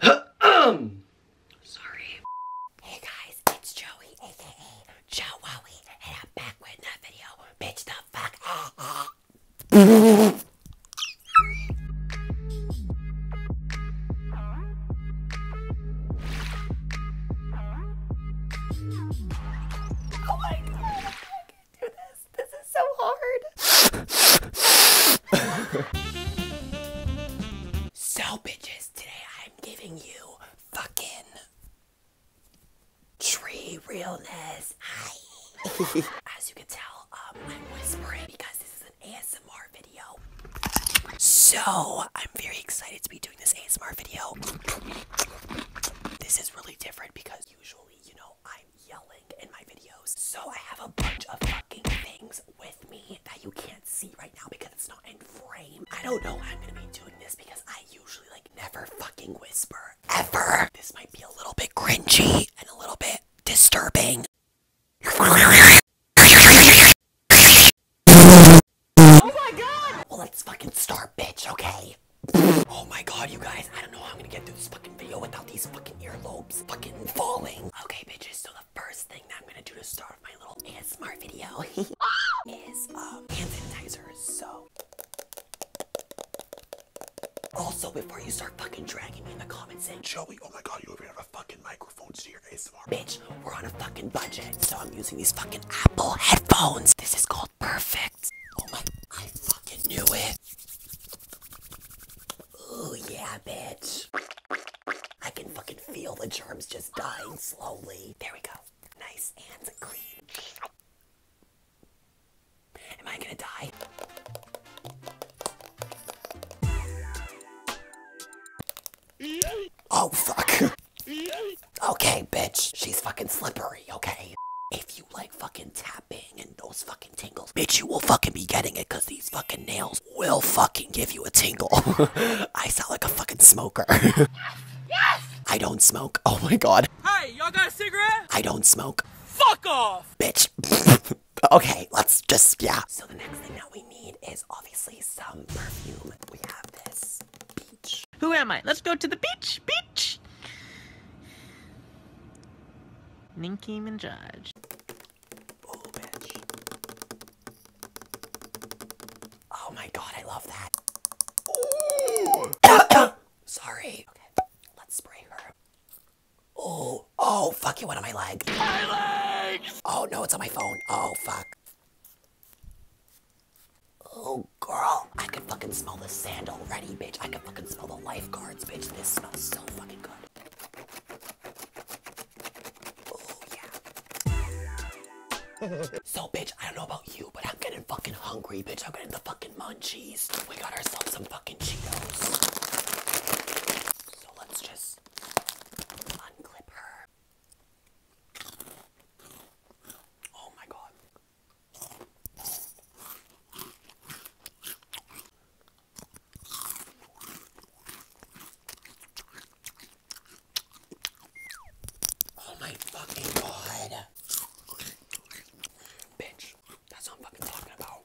Sorry. Hey guys, it's Joey, aka Joe and I'm back with another video. Bitch the fuck. oh my god, I can't do this. This is so hard so bitches, today I'm giving you fucking tree realness. As you can tell, um, I'm whispering because this is an ASMR video. So, I'm very excited to be doing this ASMR video. This is really different because usually, you know, I'm yelling in my videos. So I have a bunch of fucking things with me that you can't see right now because it's not in frame. I don't know I'm gonna be doing this because I usually like never fucking whisper ever. This might be a little bit cringy and a little bit disturbing. Oh my god! Well, let's fucking start, bitch, okay? Oh my god, you guys, I don't know how I'm gonna get through this fucking video without these fucking earlobes fucking falling. Okay, bitches, so the first thing that I'm gonna do to start off my little ASMR video is um, hand sanitizer. So, also before you start fucking dragging me in the comments saying, Joey, oh my god, you even have a fucking microphone to your ASMR. Bitch, we're on a fucking budget, so I'm using these fucking Apple headphones. This is called Perfect. Oh my, I fucking knew it. Oh yeah, bitch. I can fucking feel the germs just dying slowly. There we go. Nice and clean. Am I gonna die? Oh, fuck. Okay, bitch. She's fucking slippery, okay? If you like fucking tapping and those fucking tingles, bitch, you will fucking be getting it because these fucking nails will fucking give you a tingle. I sound like a fucking smoker. yes! I don't smoke. Oh my god. Hey, y'all got a cigarette? I don't smoke. Fuck off! Bitch. okay, let's just, yeah. So the next thing that we need is obviously some perfume. We have this beach. Who am I? Let's go to the beach. Beach! Nicki Minaj. Oh, my god, I love that. Sorry. let's spray her. Oh, oh, fuck, it went on my leg. My legs! Oh no, it's on my phone. Oh, fuck. Oh, girl. I can fucking smell the sand already, bitch. I can fucking smell the lifeguards, bitch. This smells so fucking good. so, bitch, I don't know about you, but I'm getting fucking hungry, bitch. I'm getting the fucking munchies. We got ourselves some fucking Cheetos. So let's just unclip her. Oh my god. Oh my fucking god. Bitch, that's what I'm fucking talking about.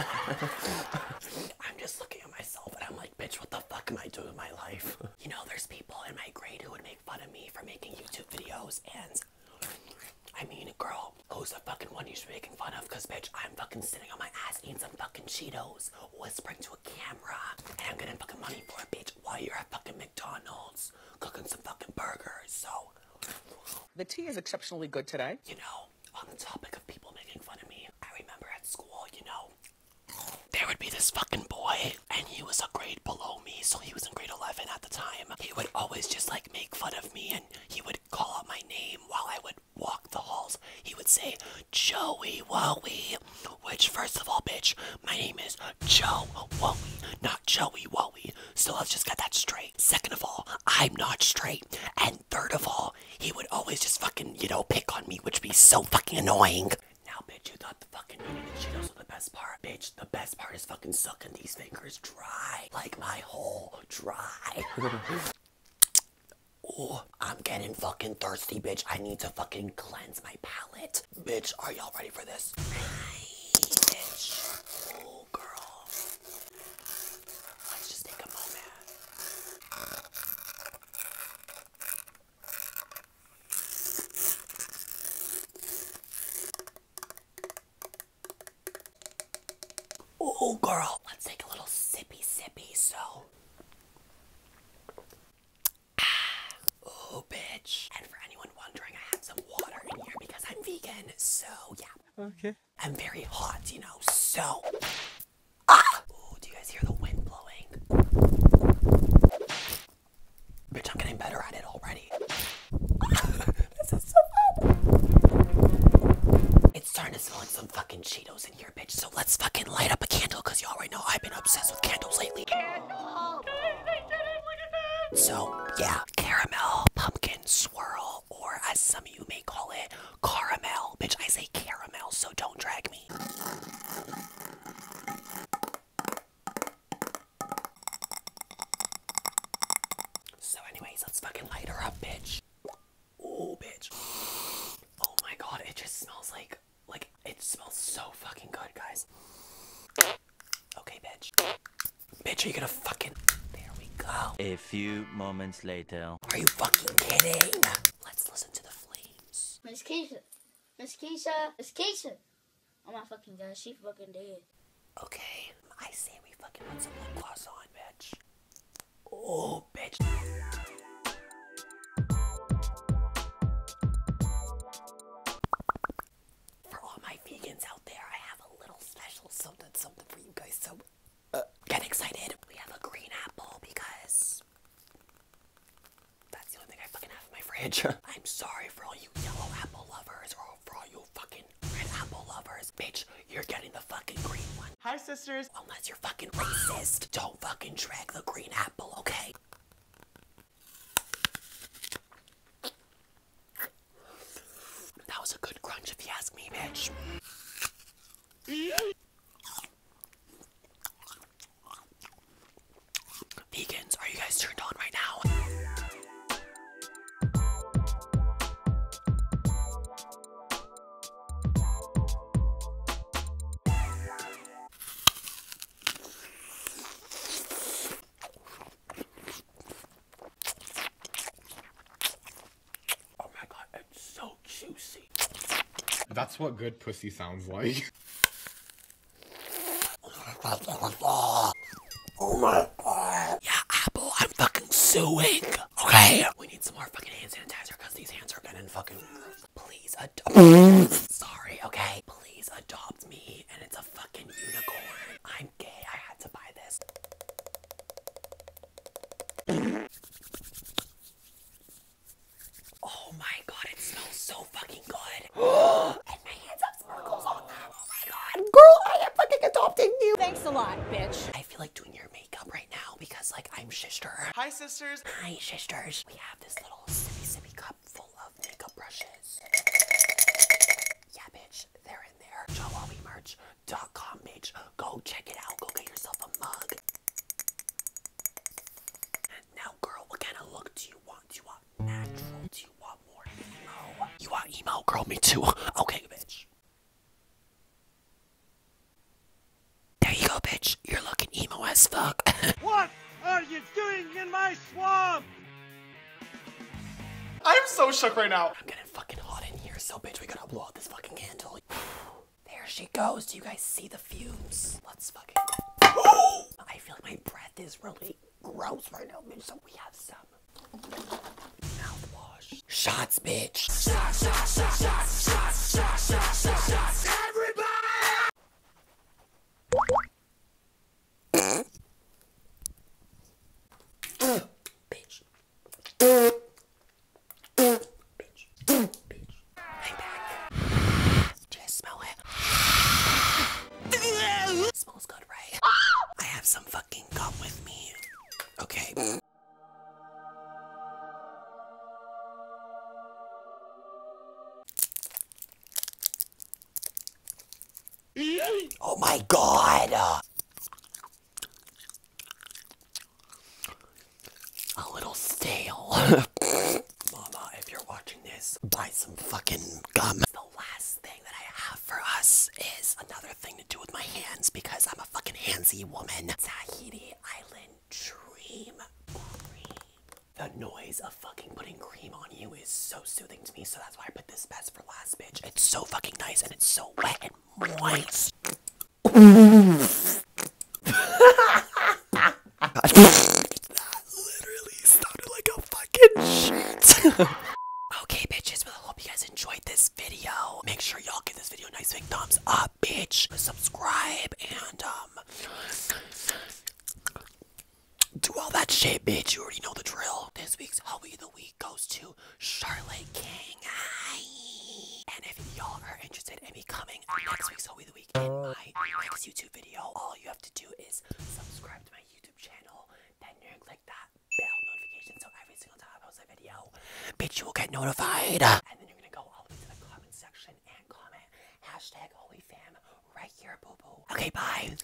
I'm just looking at myself and I'm like, bitch, what the fuck am I doing in my life? you know, there's people in my grade who would make fun of me for making YouTube videos and I mean, girl, who's the fucking one you should be making fun of? Because, bitch, I'm fucking sitting on my ass eating some fucking Cheetos, whispering to a camera, and I'm getting fucking money for a bitch, while you're at fucking McDonald's cooking some fucking burgers, so. The tea is exceptionally good today. You know, on the topic of people making fun of me, I remember at school, you know, there would be this fucking boy, and he was a grade below me, so he was in grade 11 at the time. He would always just like make fun of me and he would call out my name while I would walk the halls. He would say, Joey Woey, which, first of all, bitch, my name is Joe Woey, not Joey Woey. So I've just got that straight. Second of all, I'm not straight. And third of all, he would always just fucking, you know, pick on me, which be so fucking annoying. Now, bitch, you thought the fucking eating the Cheetos were the best part. Bitch, the best part is fucking sucking these fingers dry like my whole dry. oh, I'm getting fucking thirsty, bitch. I need to fucking cleanse my palate. Bitch, are y'all ready for this? Bitch. Oh, girl. Let's just take a moment. Oh, girl, let's take a little sippy sippy. So, ah, oh, bitch. And for anyone wondering, I had some water in here because I'm vegan. So, yeah. Okay. I'm very hot, you know. So, ah. Oh, do you guys hear the wind blowing? Bitch, I'm getting better at it already. It's starting to smell some fucking Cheetos in here, bitch. So let's fucking light up a candle, you y'all already know I've been obsessed with candles lately. So yeah, caramel pumpkin swirl, or as some of you may call it, caramel. Bitch, I say caramel, so don't drag me. So anyways, let's fucking light her up, bitch. Oh, bitch. Oh my god, it just smells like, like, it smells so fucking good, guys. Okay, bitch. Bitch, are you gonna fucking, there we go. A few moments later. Are you fucking kidding? Let's listen to the flames. Miss Keisha, Miss Keisha, Miss Keisha. Oh my fucking god, she fucking did. Okay, I say we fucking put some lip on, bitch. Oh, bitch. For all my vegans out there, I have a little special something, something for you guys. So get excited. We have a green apple because that's the only thing I fucking have in my fridge. I'm sorry for all you yellow apple lovers or for all you fucking Red apple lovers. Bitch, you're getting the fucking green one. Hi, sisters. Unless you're fucking racist. Don't fucking drag the green apple, okay? That was a good crunch if you ask me, bitch. Vegans, are you guys turned on right now? Oh my god, it's so juicy. That's what good pussy sounds like. Oh Oh my god. Yeah, Apple, I'm fucking suing. Okay? We need some more fucking hand sanitizer because these hands are getting fucking. Please adopt. Sorry, okay? Please adopt me and it's a fucking unicorn. I'm gay. I had to buy this. oh my god, it smells so fucking good. and my hands have sparkles on them. Oh my god, girl, I am fucking adopting you. Thanks a lot, bitch. I feel like doing your makeup right now because like I'm shister. Hi, sisters. Hi, sisters. We have this little sippy sippy cup full of makeup brushes. Yeah, bitch, they're in there. JawabiMerch.com, bitch. Go check it out. Go get yourself a mug. Now, girl, what kind of look do you want? Do you want natural? Do you want more emo? You want emo? Girl, me too. Okay, bitch. There you go, bitch. You're looking emo as fuck. what are you doing in my swamp? I am so shook right now. I'm getting fucking hot in here, so bitch, we gotta blow out this fucking candle. there she goes. Do you guys see the fumes? Let's fucking. I feel like my breath is really gross right now, bitch, so we have some Mouthwash. Shots, bitch. Shots, shots, shots, shots, shots, shots, shots, shots, shots. Everybody! uh, bitch. Uh, uh, bitch. Bitch. I'm back. Do you guys smell it? Smells good, right? I have some fucking gum with me. Okay. Oh my god! Uh, a little stale. Mama, if you're watching this, buy some fucking gum. The last thing that I have for us is another thing to do with my hands because I'm a fucking handsy woman. Tahiti Island Dream The noise of fucking putting cream on you is so soothing to me, so that's why I put this best for last, bitch. It's so fucking nice and it's so wet and moist. that literally sounded like a fucking shit. okay, bitches, well, I hope you guys enjoyed this video. Make sure y'all give this video a nice big thumbs up, bitch. Subscribe and um do all that shit, bitch. You already know the drill. This week's Hubby the Week goes to Charlotte King. And if y'all are interested in becoming next week's Hubby of the Week in my next YouTube video, all you have to do is subscribe to my YouTube channel, then you click that bell notification so every single time I post a video, bitch, you will get notified. And then you're gonna go all the way to the comment section and comment hashtag HolyFam right here, boo boo. Okay, bye.